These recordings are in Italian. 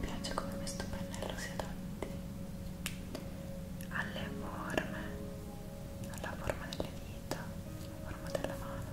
Mi piace come questo pennello si adatti alle forme, alla forma delle dita, alla forma della mano.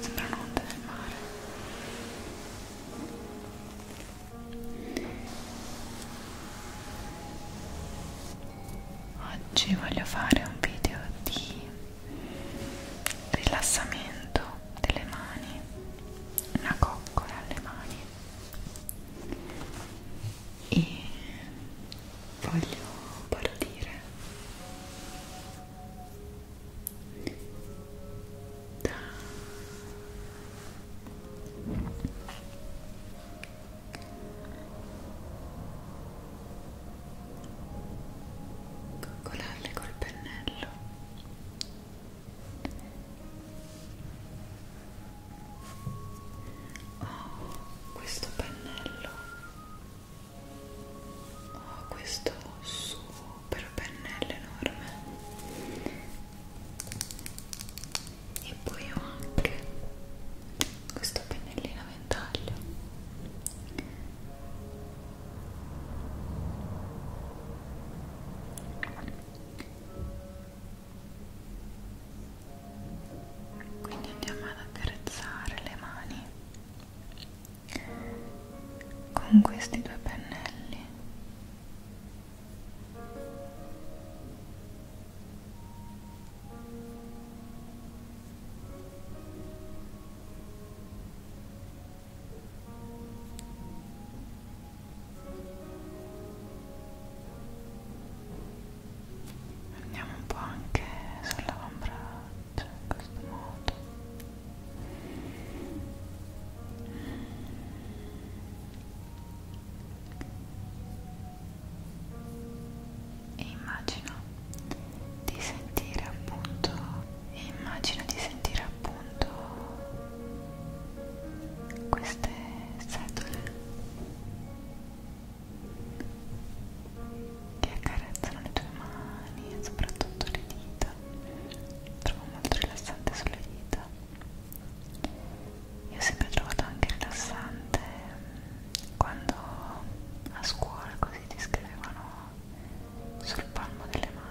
sembrano onde del mare oggi voglio fare un video di rilassamento delle mani una coccola alle mani e voglio partire coccolarle col pennello oh questo pennello ho oh, questo super pennello enorme e poi ho anche questo pennellino a ventaglio quindi andiamo ad accarezzare le mani con questi due pennelli andiamo un po' anche sull'ombra cioè in questo modo e immagino di sentire appunto e immagino di sentire appunto queste setole che accarezzano le tue mani e soprattutto le dita trovo molto rilassante sulle dita io ho sempre trovato anche rilassante mm, quando a scuola così ti scrivevano sul palmo delle mani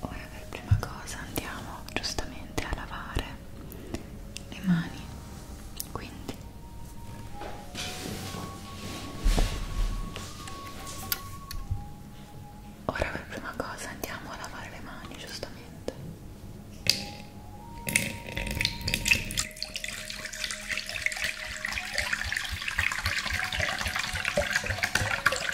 ora per prima cosa andiamo giustamente a lavare le mani quindi ora per prima cosa andiamo a lavare le mani giustamente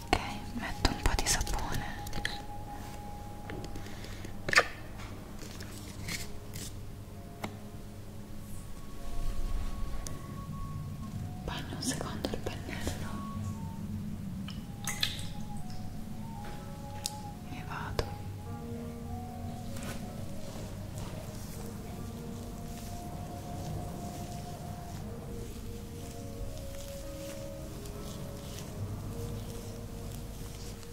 Ok, metto un po' di sapone bagno un secondo il pennello e vado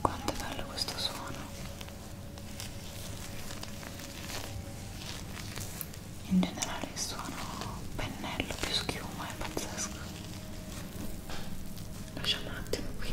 Quanto è bello questo suono. In generale il suono pennello più schiuma è pazzesco. Lasciamo un attimo qui.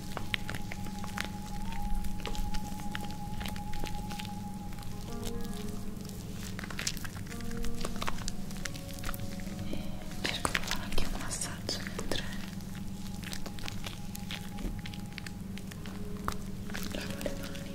e cerco di fare anche un massaggio mentre lavo le mani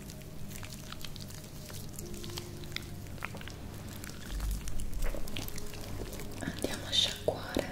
Andiamo a sciacquare.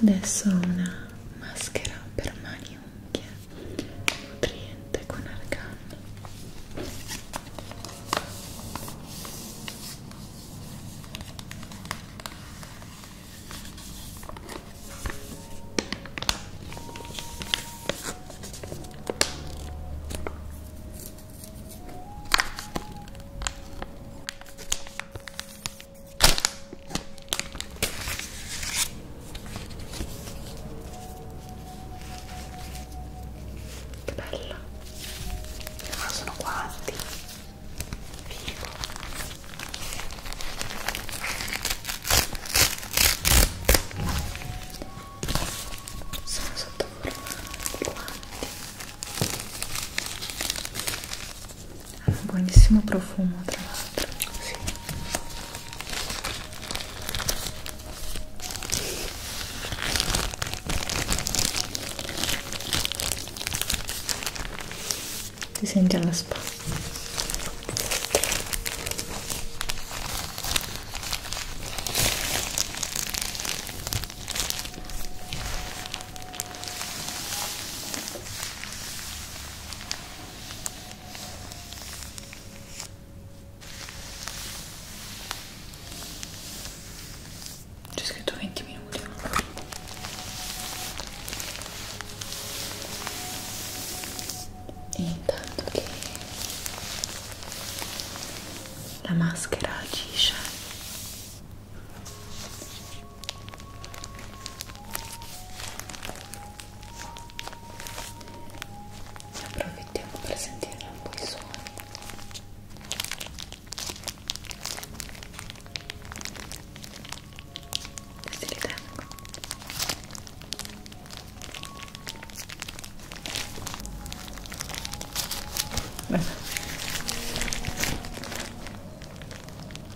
Adesso ho una maschera per mani e unghie nutriente con argan. Che bella! Ma sono quanti? Figo! Sono sotto forma di guanti hanno un buonissimo profumo tra l'altro sì. ti senti alla spa c'è scritto 20 minuti. E intanto che la maschera agisce approfittiamo per sentire un po' i suoni questi li tengo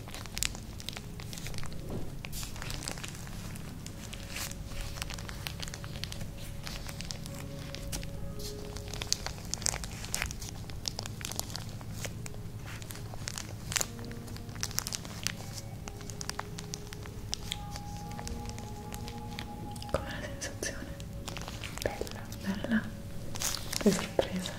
Com'è la sensazione? Bella, bella, che sorpresa.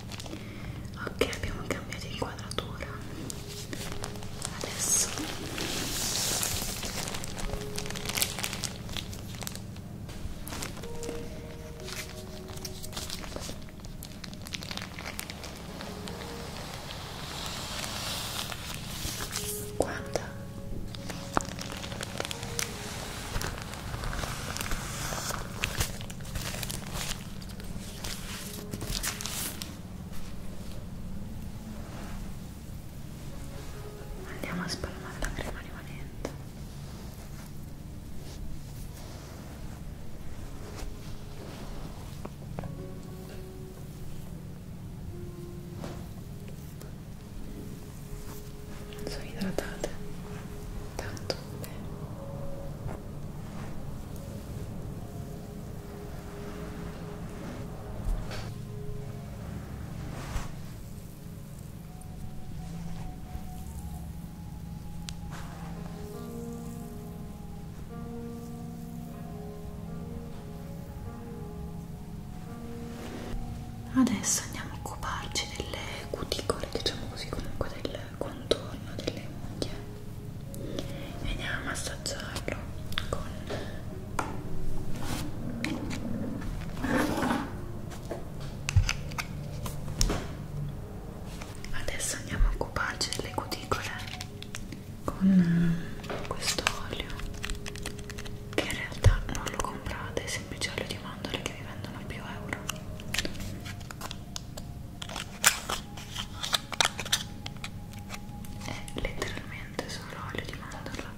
ok abbiamo cambiato inquadratura adesso Guarda. Andiamo a spalmare la crema rimanente. Sono idratate, tanto Adesso andiamo a occuparci delle cuticole, diciamo così, comunque del del contorno delle unghie e andiamo a massaggiarlo con adesso andiamo a occuparci delle cuticole con eh, questo olio che in realtà non lo comprate è semplice olio di mandorle che vi vendono più euro è eh, letteralmente solo olio di mandorla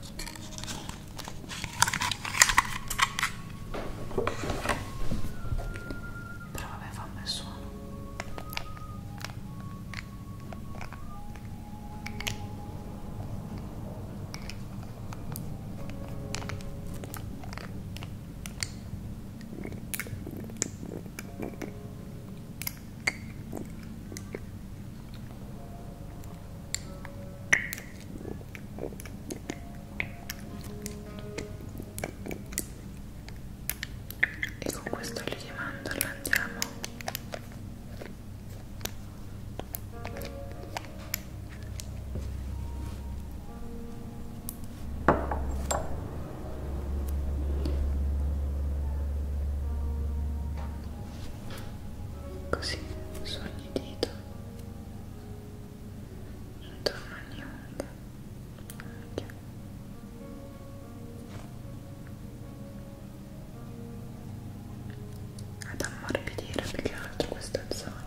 però vabbè fa un bel suono e con questo olio di mandorla andiamo Così su ogni dito intorno a ogni unghia. unghia. Ad ammorbidire più che altro questa zona.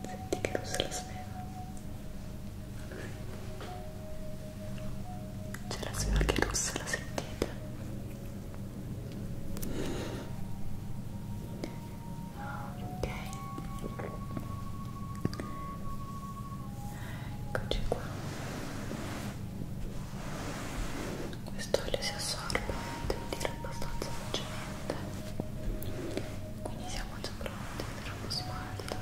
Senti che rossa la sfera. C'è la sfera che rossa, la sentite? ok eccoci qua questo olio si assorbe devo dire abbastanza velocemente quindi siamo già pronti per uno smalto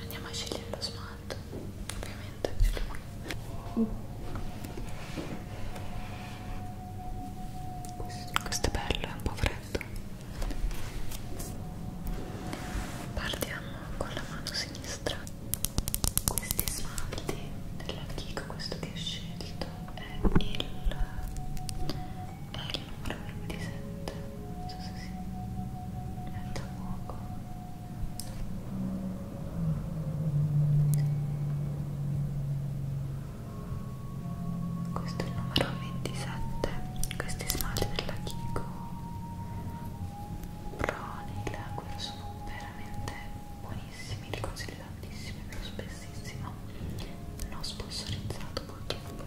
andiamo a scegliere lo smalto Matt ovviamente è lui questo è bello, è un po' freddo partiamo con la mano sinistra questi smalti della Kiko, questo che ho scelto è il è il numero 27 non so se si mette a fuoco questo è il numero 27 questi smalti della Kiko Proni, l'acqua sono veramente buonissimi li consiglio tantissimi lo spessissimo non sponsorizzato purtroppo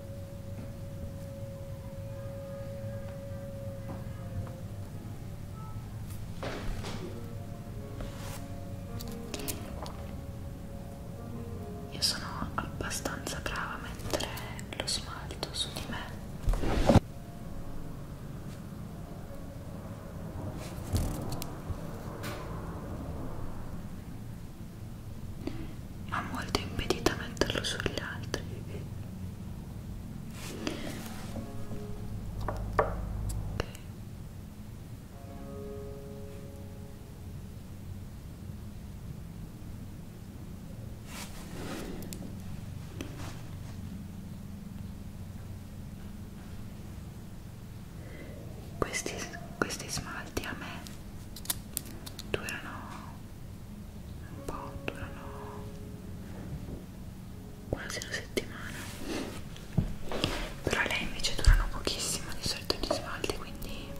Io sono abbastanza brava a mettere lo smalto su di me ma molto impedita a metterlo sugli altri okay questi, questi smalti a me durano un po', durano quasi una settimana però lei invece durano pochissimo di solito gli smalti quindi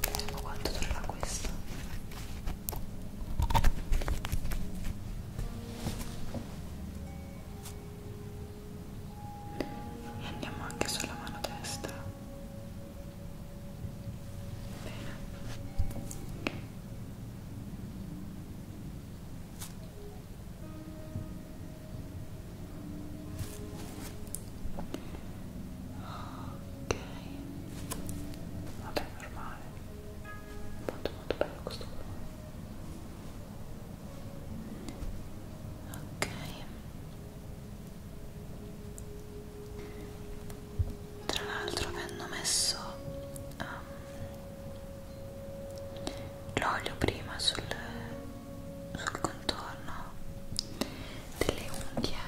vediamo quanto durerà questo e andiamo anche sulla mano destra Bene. Ok, vabbè, normale, molto molto bello questo colore. Ok, tra l'altro mi hanno messo um, l'olio prima sul, sul contorno delle unghie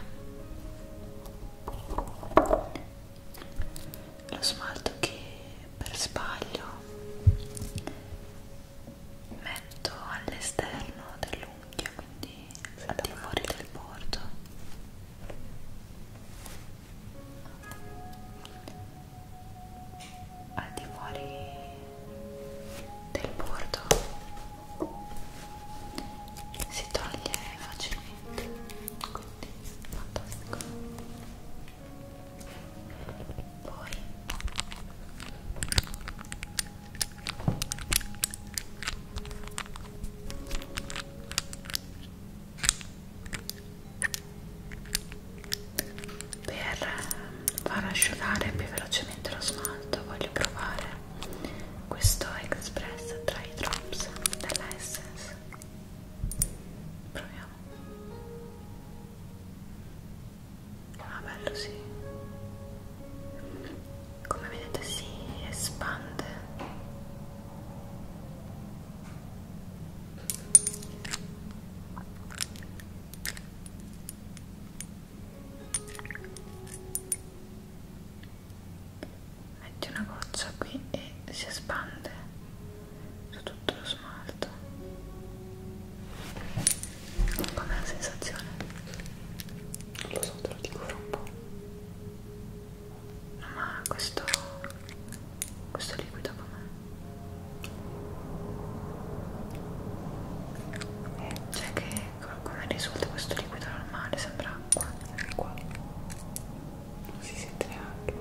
lo smalto che per sbaglio metto all'esterno dell'unghia quindi al di fuori del bordo al di fuori del bordo si toglie facilmente quindi fantastico poi per far asciugare più velocemente lo smalto voglio provare questo Express Dry Drops della Essence proviamo Ah bello sì. Come vedete si espande. Metti una goccia qui e si espande su tutto lo smalto. Com'è la sensazione? Non lo so, te lo dico fra un po'. No, ma questo... questo liquido com'è? Eh, cioè che come risulta questo liquido normale? Sembra acqua. Qua. Non si sente neanche.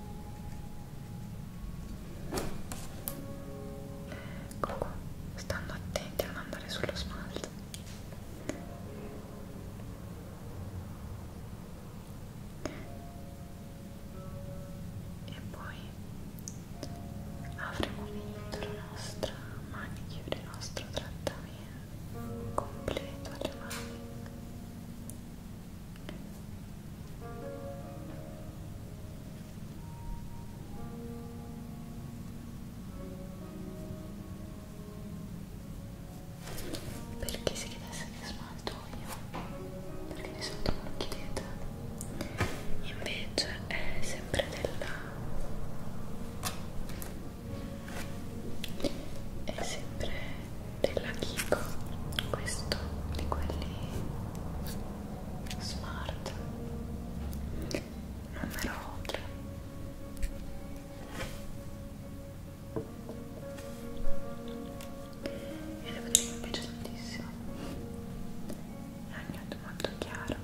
Ecco qua, stando attenti a non andare sullo smalto. E poi avremo finito la nostra manicure, il nostro trattamento completo alle mani. Perché si chiedesse di smalto io? Perché di sotto non lo chiedete. Invece è sempre della è sempre della Kiko questo di quelli smart numero 3 e devo dire che mi piace tantissimo è un nude molto chiaro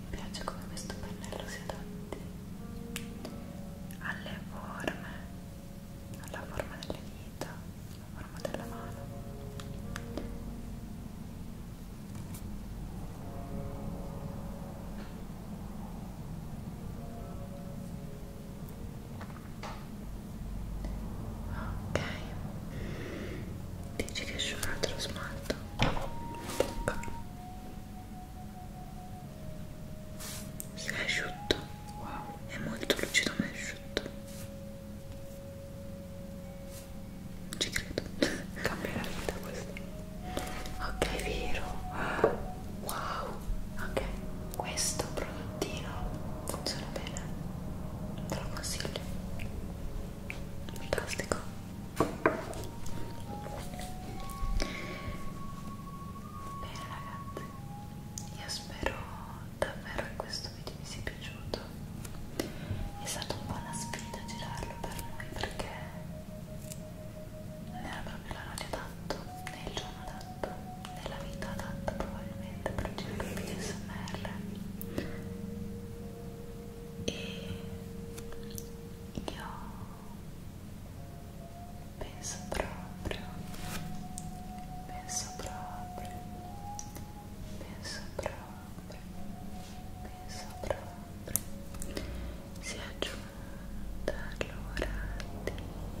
mi piace come questo pennello si adatti alle forme, alla forma delle dita, alla forma della mano. Ok, Dici che c'è un altro smalto? Bocca. Si è asciutto. Wow. È molto lucido ma è asciutto. Non ci credo. Cambia la vita questo. Ok, vero. Wow. Ok, questo prodottino funziona bene te lo consiglio fantastico bene ragazzi io spero davvero che questo video vi sia piaciuto è stata un po' una sfida girarlo per noi perché non era proprio l'orario adatto né il giorno adatto né la vita adatta probabilmente ovviamente per il video smr e io penso proprio penso proprio penso proprio penso proprio si è giunta l'ora di Abbassare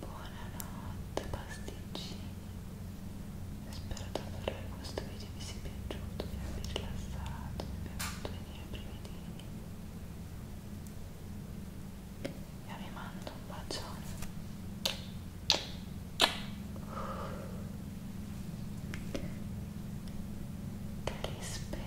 Buonanotte pasticcini Spero davvero che questo video vi sia piaciuto, vi abbia rilassato, vi abbia fatto venire i brividini e vi mando un bacione che rispera